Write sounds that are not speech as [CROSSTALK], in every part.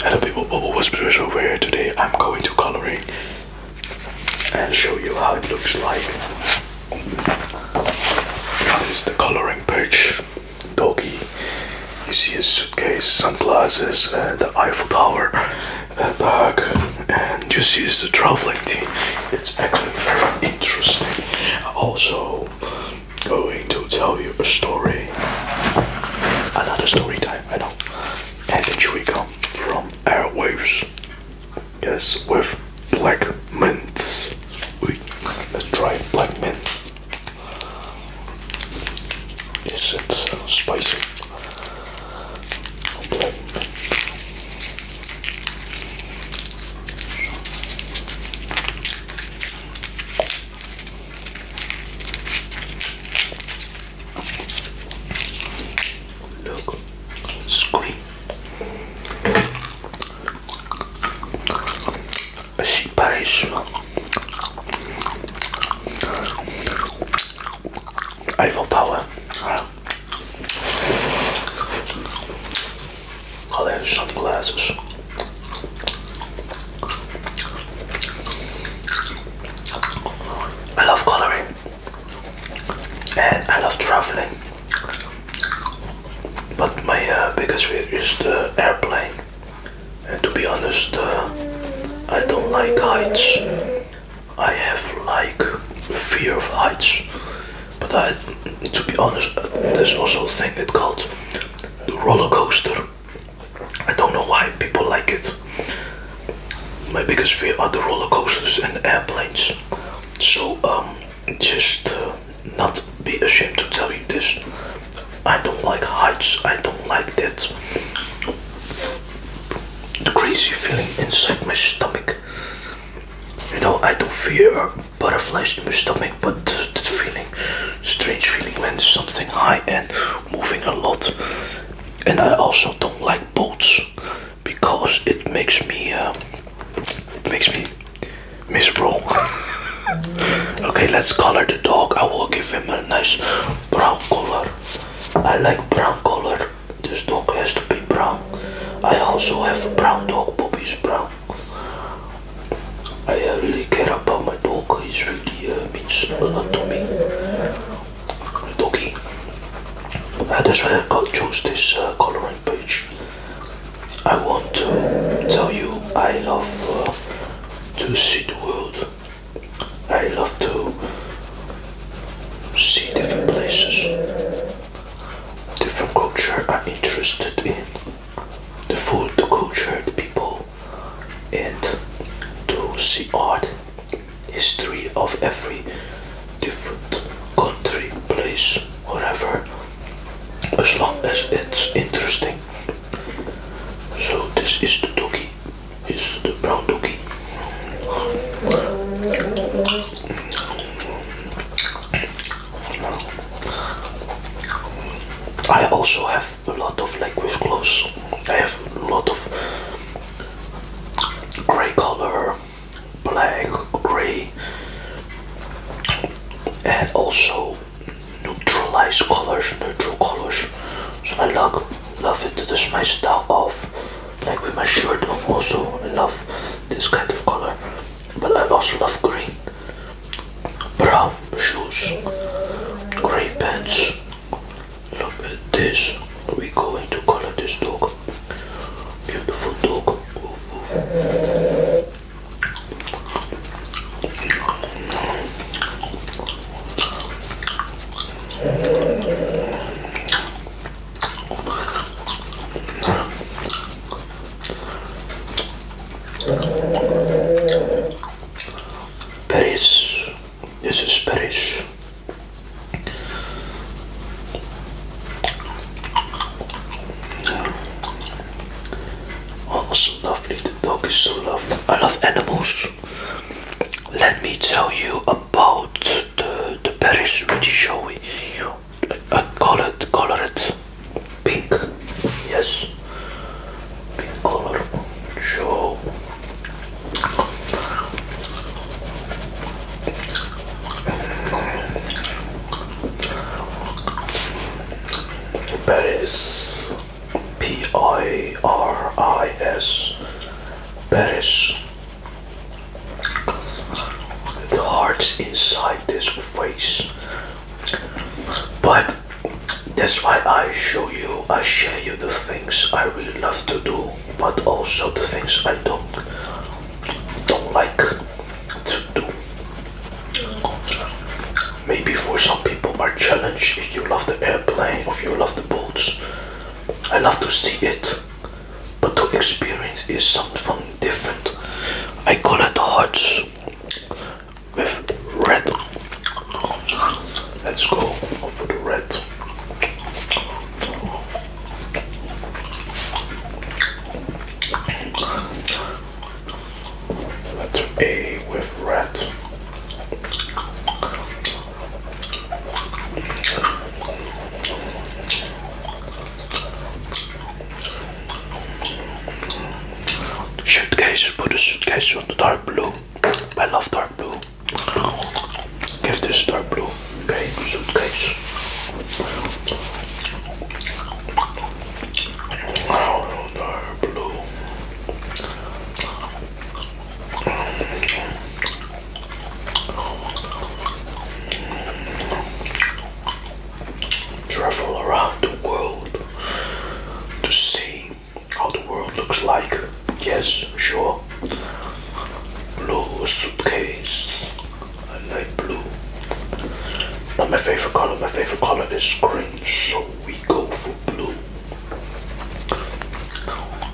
Hello people, Bubble Whispers over here. Today I'm going to coloring and show you how it looks like. This is the coloring page. Doggy. You see a suitcase, sunglasses, uh, the Eiffel Tower, a uh, bag, and you see the traveling team. It's actually very interesting. Also going to tell you a story. Another story time. I don't. And the we come from Airwaves. Yes, with black mints. We Let's try black mint. Is it uh, spicy. Look, scream. Assim parece. Aí voltava. Ah. Galera, é são de glasses. I love coloring and I love traveling, but my uh, biggest fear is the airplane. And to be honest, uh, I don't like heights. I have like fear of heights, but I, to be honest, there's also a thing it called the roller coaster. I don't know why people like it. My biggest fear are the roller coasters and the airplanes. So, um, just uh, not be ashamed to tell you this. I don't like heights, I don't like that. The crazy feeling inside my stomach. You know, I don't fear butterflies in my stomach, but that feeling strange feeling when something high and moving a lot. And I also don't like boats because it makes me uh, it makes me miserable. [LAUGHS] okay, let's color the dog. I will give him a nice brown color. I like brown color. This dog has to be brown. I also have brown dog. Bobby's brown. I uh, really care about my dog. He's really uh, means a to me. My doggy. Uh, that's why I got chose this uh, coloring page. I want to tell you I love uh, to see the world. I love to see different places, different culture I'm interested in. The food, the culture, the people and to see art history of every different country place whatever as long as it's interesting so this is the doggy is the brown doggy I also have a lot of like with clothes I have a lot of gray color, black, gray, and also neutralized colors, neutral colors. So I love love it. That is my style of like with my shirt. Also, love this kind of color, but I also love green brown shoes, grey pants. Look at this. We're going to color this dog. Beautiful dog. Paris. This is Paris. Oh, so lovely. The dog is so lovely. I love animals. Let me tell you about the, the Paris British show. I call it, color it pink yes pink color show Paris P-I-R-I-S Paris the heart's inside this face but that's why I show you, I share you the things I really love to do, but also the things I don't don't like to do. Maybe for some people my challenge if you love the airplane, if you love the boats. I love to see it, but to experience is something different. I call it the hearts with red. Let's go for the red. Letter A with red suitcase. Put a suitcase on the dark blue. I love dark blue. Give this dark blue. Okay, suitcase. dark blue. Travel around the world to see how the world looks like. Yes, sure. Blue suitcase. I like blue. Not my favorite color. My favorite color is green, so we go for blue.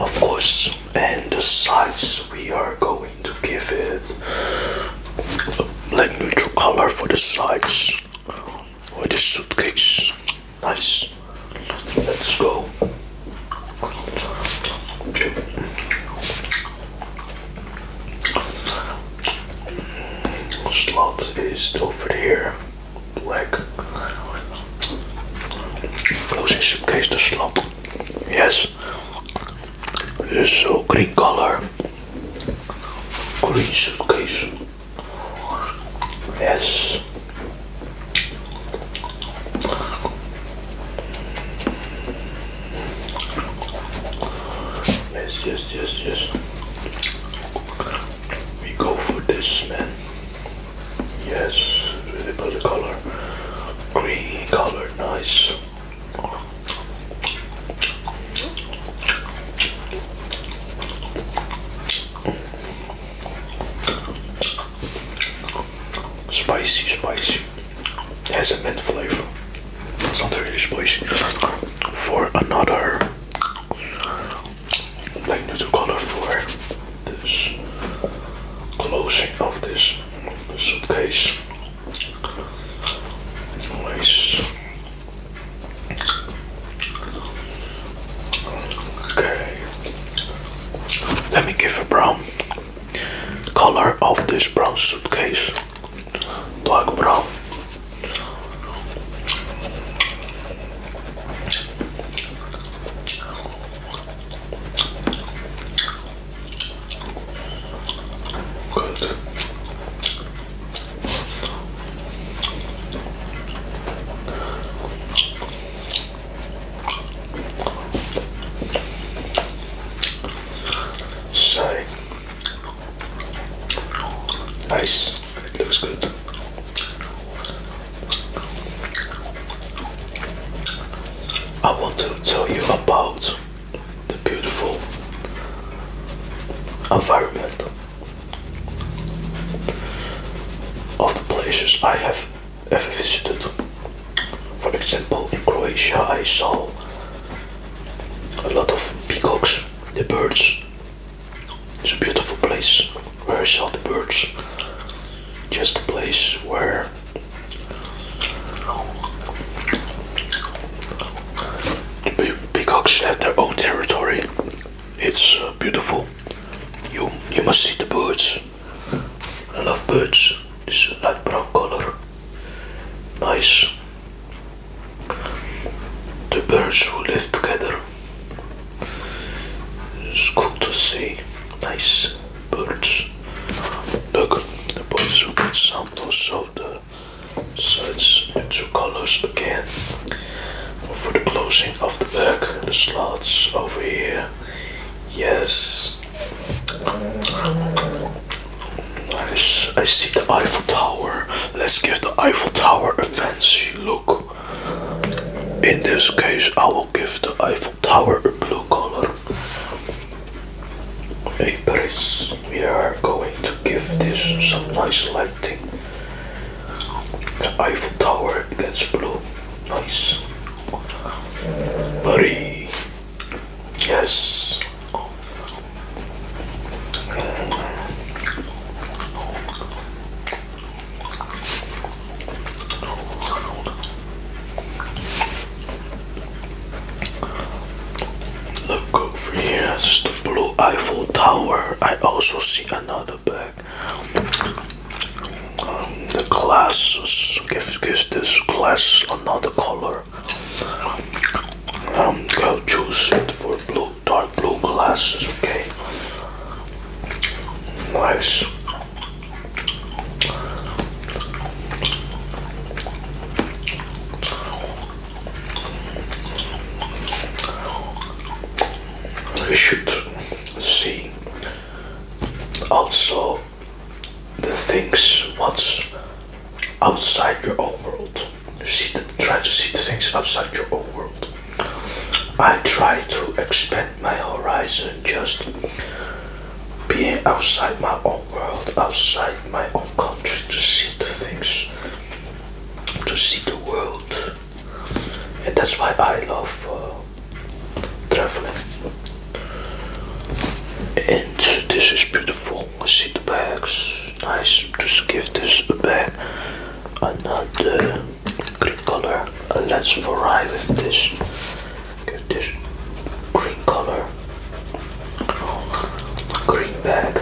Of course, and the sides we are going to give it like neutral color for the sides for the suitcase. Nice. Let's go. Slot is over here. Black. Closing oh, suitcase the slot. Yes. This is so green color. Green suitcase. Yes. Yes, yes, yes, yes. We go for this, man. Yes, really put color. Green color, nice. Spicy, spicy. has a mint flavor. It's not really spicy. For another like to color for this closing of this suitcase. Nice. Okay. Let me give a brown color of this brown suitcase. Dark brown. So nice, it looks good. I want to tell you about the beautiful environment of the places I have ever visited. For example, in Croatia, I saw a lot of peacocks, the birds. It's a beautiful place where I saw the birds. Just a place where the peacocks have their own territory it's uh, beautiful. You you must see the birds. I love birds. This light brown color. Nice. The birds who live together. It's cool to see. Nice birds. Look, the birds who put some soda so it's two colors again for the closing of the back the slots over here yes I see the Eiffel Tower let's give the Eiffel Tower a fancy look in this case I will give the Eiffel Tower a blue color Hey Paris, we are going to give this some nice lighting the Eiffel Tower gets blue. Nice. Buddy. Yes look over here. That's the blue Eiffel Tower. I also see another bag. Um, the glasses gives gives this glass another color. Um, I'll choose it for blue, dark blue glasses. Okay, nice. You should see also the things what's outside your own world. You see, the, try to see the things outside your own world. I try to expand my horizon, just being outside my own world, outside my own country, to see the things, to see the world and that's why I love uh, traveling and this is beautiful I see the bags nice just give this a bag another green color and uh, let's vary with this give this green color green bag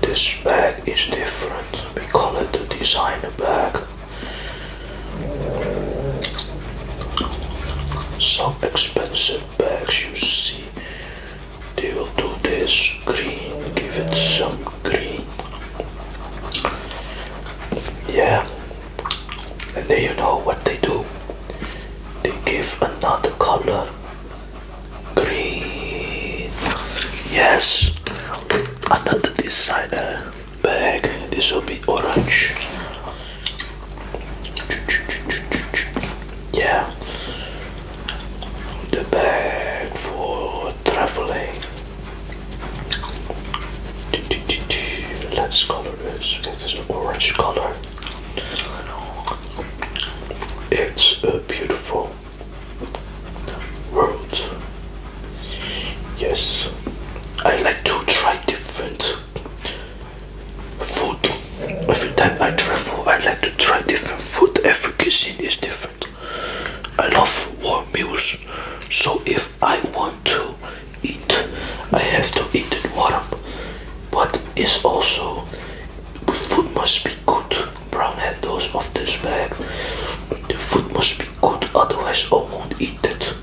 this bag is different. We call it the designer bag. Some expensive bags you see, they will do this green, give it some green. Yeah, and then you know what they do. They give another color green yes another designer bag this will be orange yeah the bag for traveling let's color this with this orange color it's a beautiful world. Yes, I like to try different food. Every time I travel, I like to try different food. Every cuisine is different. I love warm meals, so if I want to eat, I have to eat it warm. But it's also the food must be good. Brown handles of this bag. The food must be good, otherwise I won't eat it.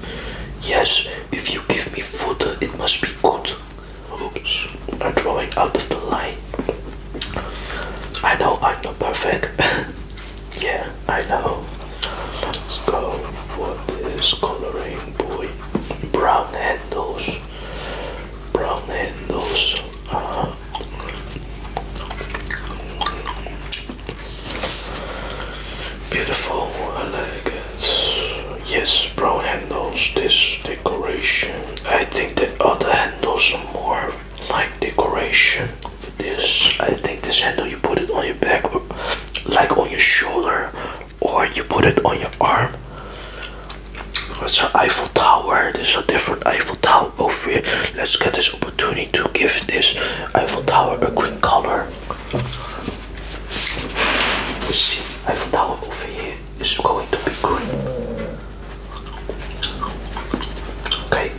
Yes, if you give me food, it must be good. Oops, I'm drawing out of the line. I know I'm not perfect. [LAUGHS] yeah, I know. Let's go for this coloring boy. Brown handles brown handles. Uh, beautiful, I Yes, brown handles. This decoration. I think the other handles are more like decoration. This, I think, this handle you put it on your back, like on your shoulder, or you put it on your arm. It's an Eiffel Tower? There's a different Eiffel Tower over here. Let's get this opportunity to give this Eiffel Tower a green color. You see, Eiffel Tower over here is going to be green. Okay,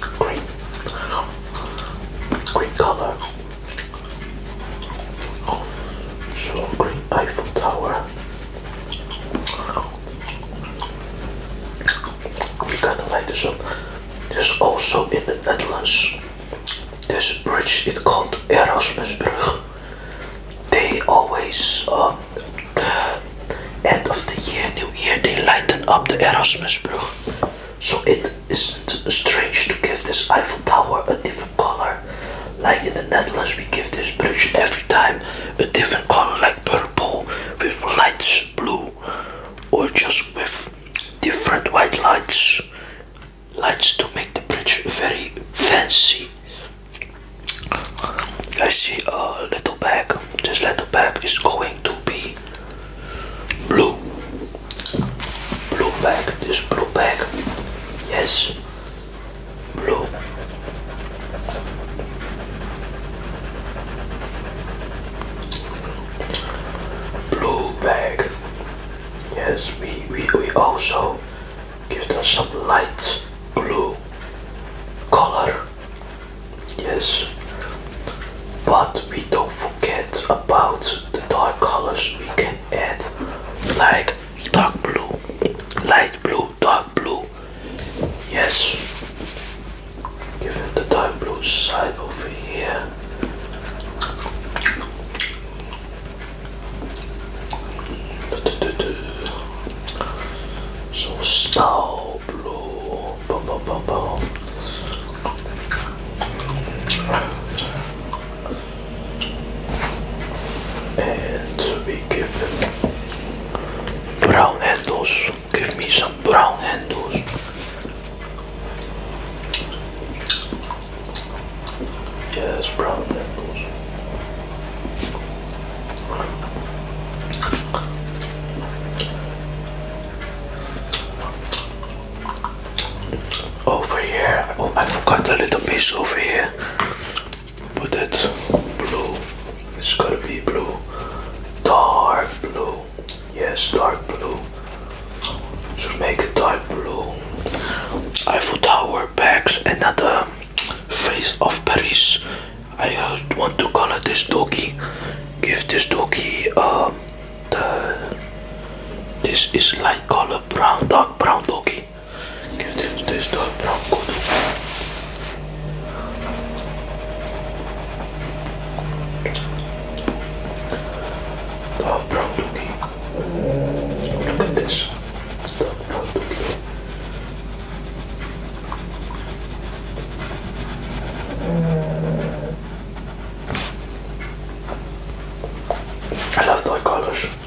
green, green color. So green Eiffel Tower kind of like this one. There's also in the Netherlands this bridge. It's called Erasmusbrug. They always um, the end of the year, New Year, they lighten up the Erasmusbrug. So it isn't strange to give this Eiffel Tower a different color. Like in the Netherlands, we give this bridge every time a different color, like purple with lights blue, or just with different white lights, lights to make the bridge very fancy. I see a little bag. This little bag is going to be blue. Blue bag. This blue bag. Yes blue blue bag yes we, we, we also give them some light blue color yes but we don't forget about the dark colors we can add like dark blue light blue dark blue. Yes. Give him the dark blue side over here. So style blue. Boom, boom, boom, boom and to be given brown handles. Give me some brown handles. Yes, brown handles. Over here, oh, I forgot a little piece over here but it's blue. It's gonna be blue. Dark blue. Yes, dark blue. So make it dark blue. Eiffel Tower bags, another face of Paris. I uh, want to color this doggy. Give this doggy um, the. This is light color brown, dark brown doggy aqui que eu tenho texto Look at this. Estou pronto I love toy colors.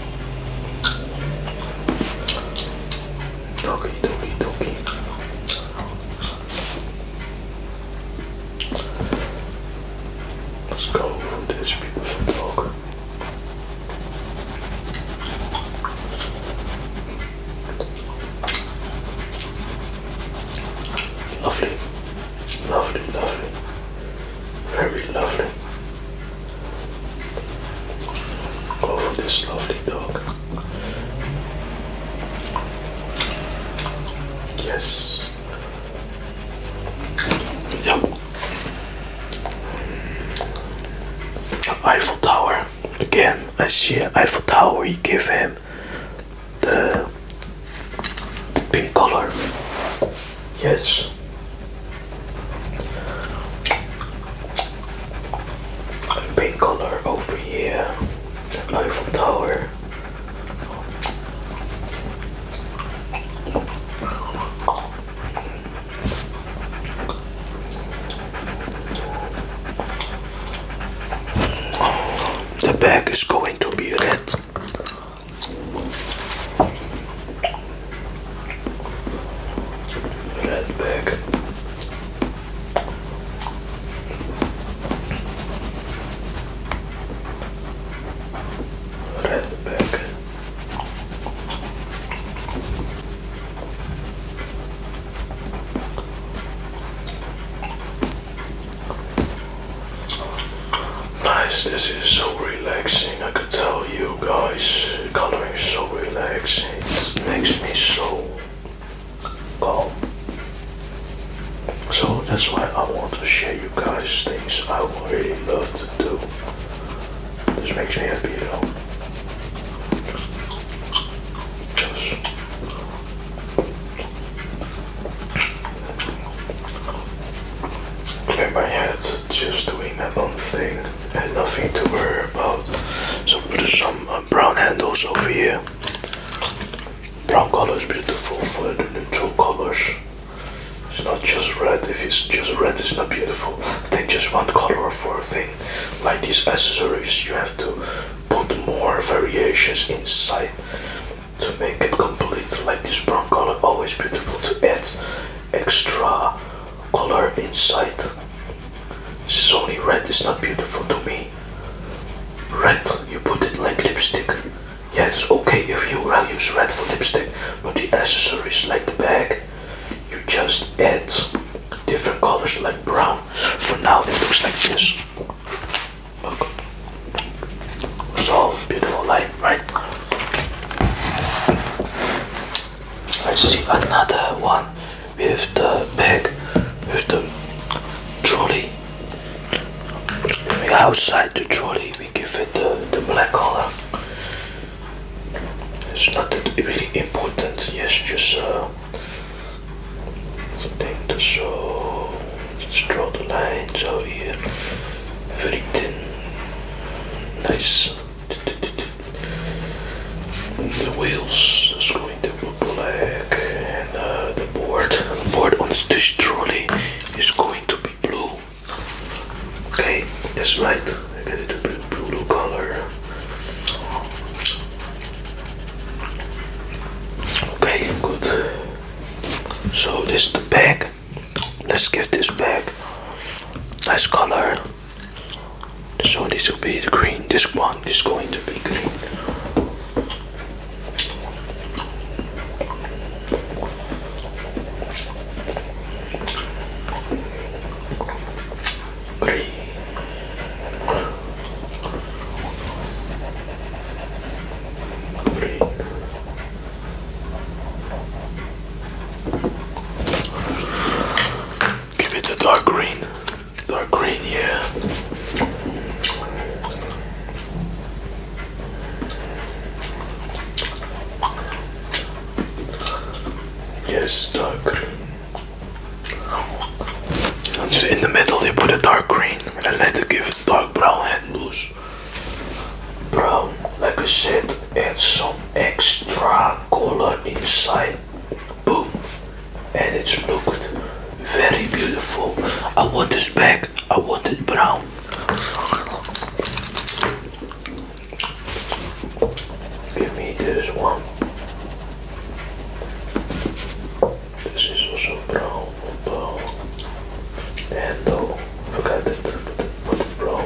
Doki, doki, doki. Let's go for this beautiful dog. Lovely, lovely, lovely, very lovely. Go oh, this lovely dog. Yes. Yep. Eiffel Tower. Again, I see Eiffel Tower. You give him the pink color. Yes. Pink color over here. Eiffel Tower. The bag is going to be red. That's big. That's big. Nice, this is so relaxing, I could tell you you guys. Coloring is so relaxing. It makes me so calm. So that's why I want to share you guys things I really love to do. This makes me happy Just clear my hair. just doing to remember thing and nothing to worry about. So put some uh, brown handles over here. Brown color is beautiful for the neutral colors. It's not just red. If it's just red, it's not beautiful. Take just one color for a thing. Like these accessories, you have to put more variations inside to make it complete. Like this brown color, always beautiful to add extra color inside. This is only red, it's not beautiful to me. Red, you put it like lipstick. Yeah, it's okay if you use red for lipstick, but the accessories like the bag, you just add different colors like brown. For now, it looks like this. It's all beautiful light, right? I see another one with the bag, with the trolley. Outside the trolley, we give it the, the black color. It's not really important. Yes, just uh, something to show. Let's draw the lines over here, very thin, nice. The wheels is going to be black, and uh, the board, board on this trolley is going to be blue. Okay, that's right. I get it a bit blue color. Okay, good. So this is the back. Let's give this back. nice color. So this will be green. This one is going to be green. Green. Green. Give it a dark green. Dark green, yeah. Yes, dark green. so in the middle you put a dark green and let it give it dark brown and loose. Brown, like I said add some extra color inside boom and it's looked very beautiful I want this back I want it brown give me this one this is also brown brown handle uh, forgot it. Bro.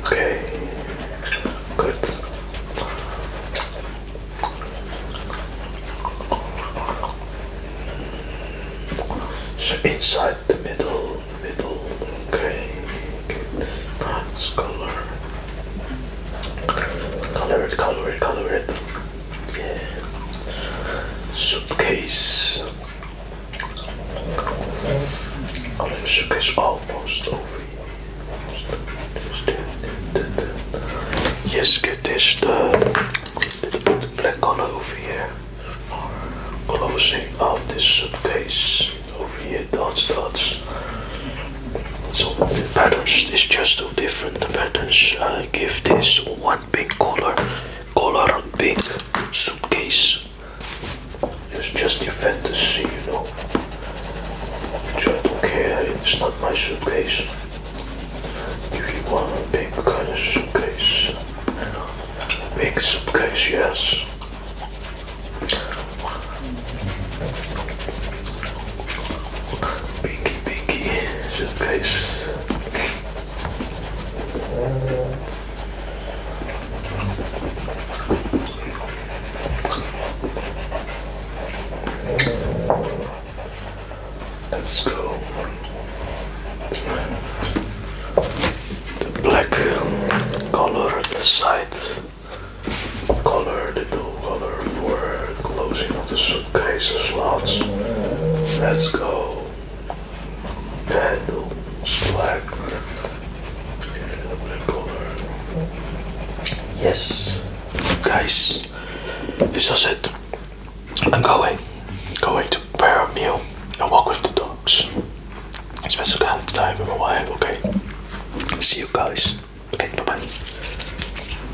Okay. Good. So inside the middle, middle, okay, good. Nice color. Color it, color it, color it. Suitcase. Oh, suitcase almost over here. Yes, get the uh, black color over here. Closing of this suitcase over here. Dots, dots. So the patterns is just too different. patterns. Uh, give this one pink color color pink suitcase it's just a fantasy you know which I don't care it's not my suitcase you want a pink kind of suitcase pink suitcase yes Pinky, pinky, just in case. Let's go. The black color at the side, color the dull color for closing of the soul. Kaiser Slots. Let's go. Handle, slack. Yes. Guys, this is it. I'm going. Going to prepare a meal and walk with the dogs. Special kind of time in my wife, okay? See you guys. Okay, bye bye.